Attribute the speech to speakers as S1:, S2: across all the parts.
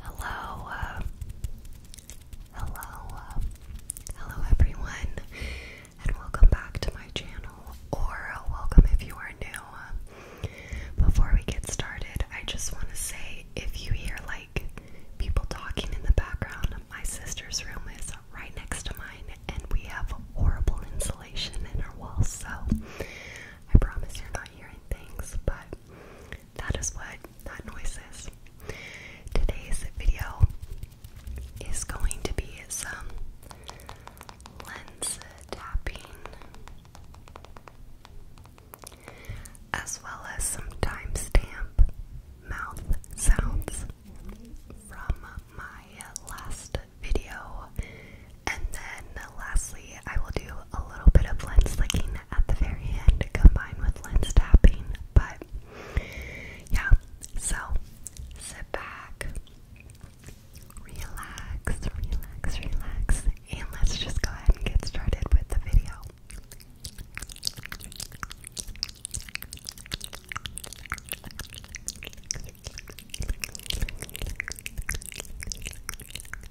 S1: Hello, uh, hello, uh, hello everyone, and welcome back to my channel, or uh, welcome if you are new. Before we get started, I just want to say if you hear like people talking in the background, my sister's room is right next to mine, and we have horrible insulation in our walls, so I promise you're not hearing things, but that is what that noise is. Today's video is going to be some lens tapping as well as some timestamp mouth sounds from my last video and then lastly, I will do a little bit of lens licking at the very end combined with lens tapping. But yeah, so sit back, relax, relax, relax, and let's just go ahead and get started with the video.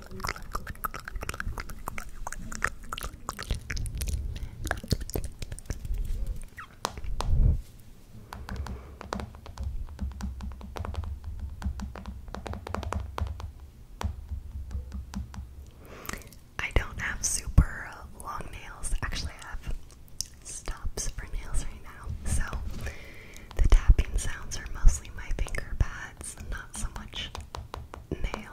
S1: I don't have super long nails. Actually, I have stops for nails right now. So the tapping sounds are mostly my finger pads, not so much nail.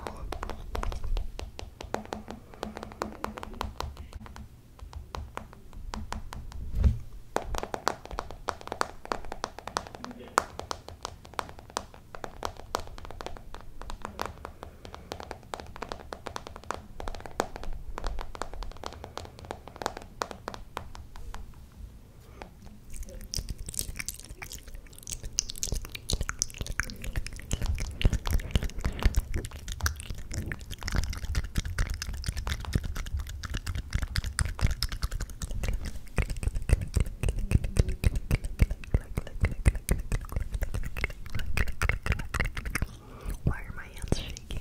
S2: Why are my hands shaking?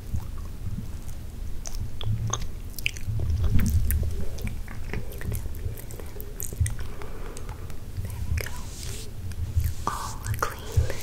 S1: we go. All clean. Okay.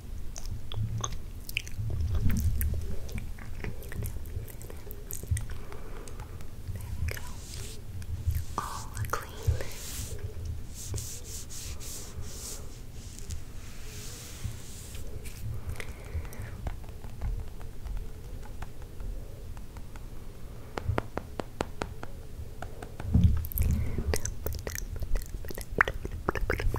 S1: we go. All clean.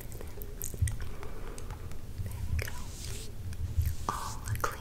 S1: There we go. All clean.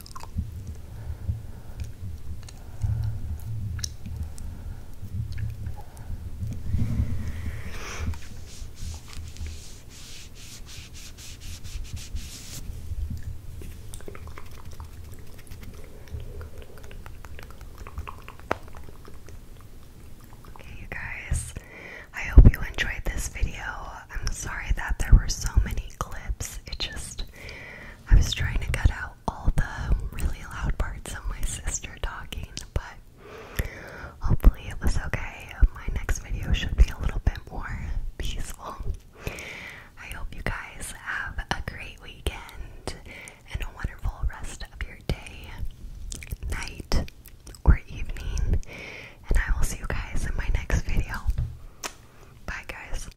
S1: Okay, you guys, I hope you enjoyed this video. I'm sorry that there were so many clips. It just, I was trying to cut out all the really loud parts of my sister talking, but hopefully it was okay. My next video should be a little bit more peaceful. I hope you guys have a great weekend and a wonderful rest of your day, night, or evening, and I will see you guys in my next video. Bye, guys.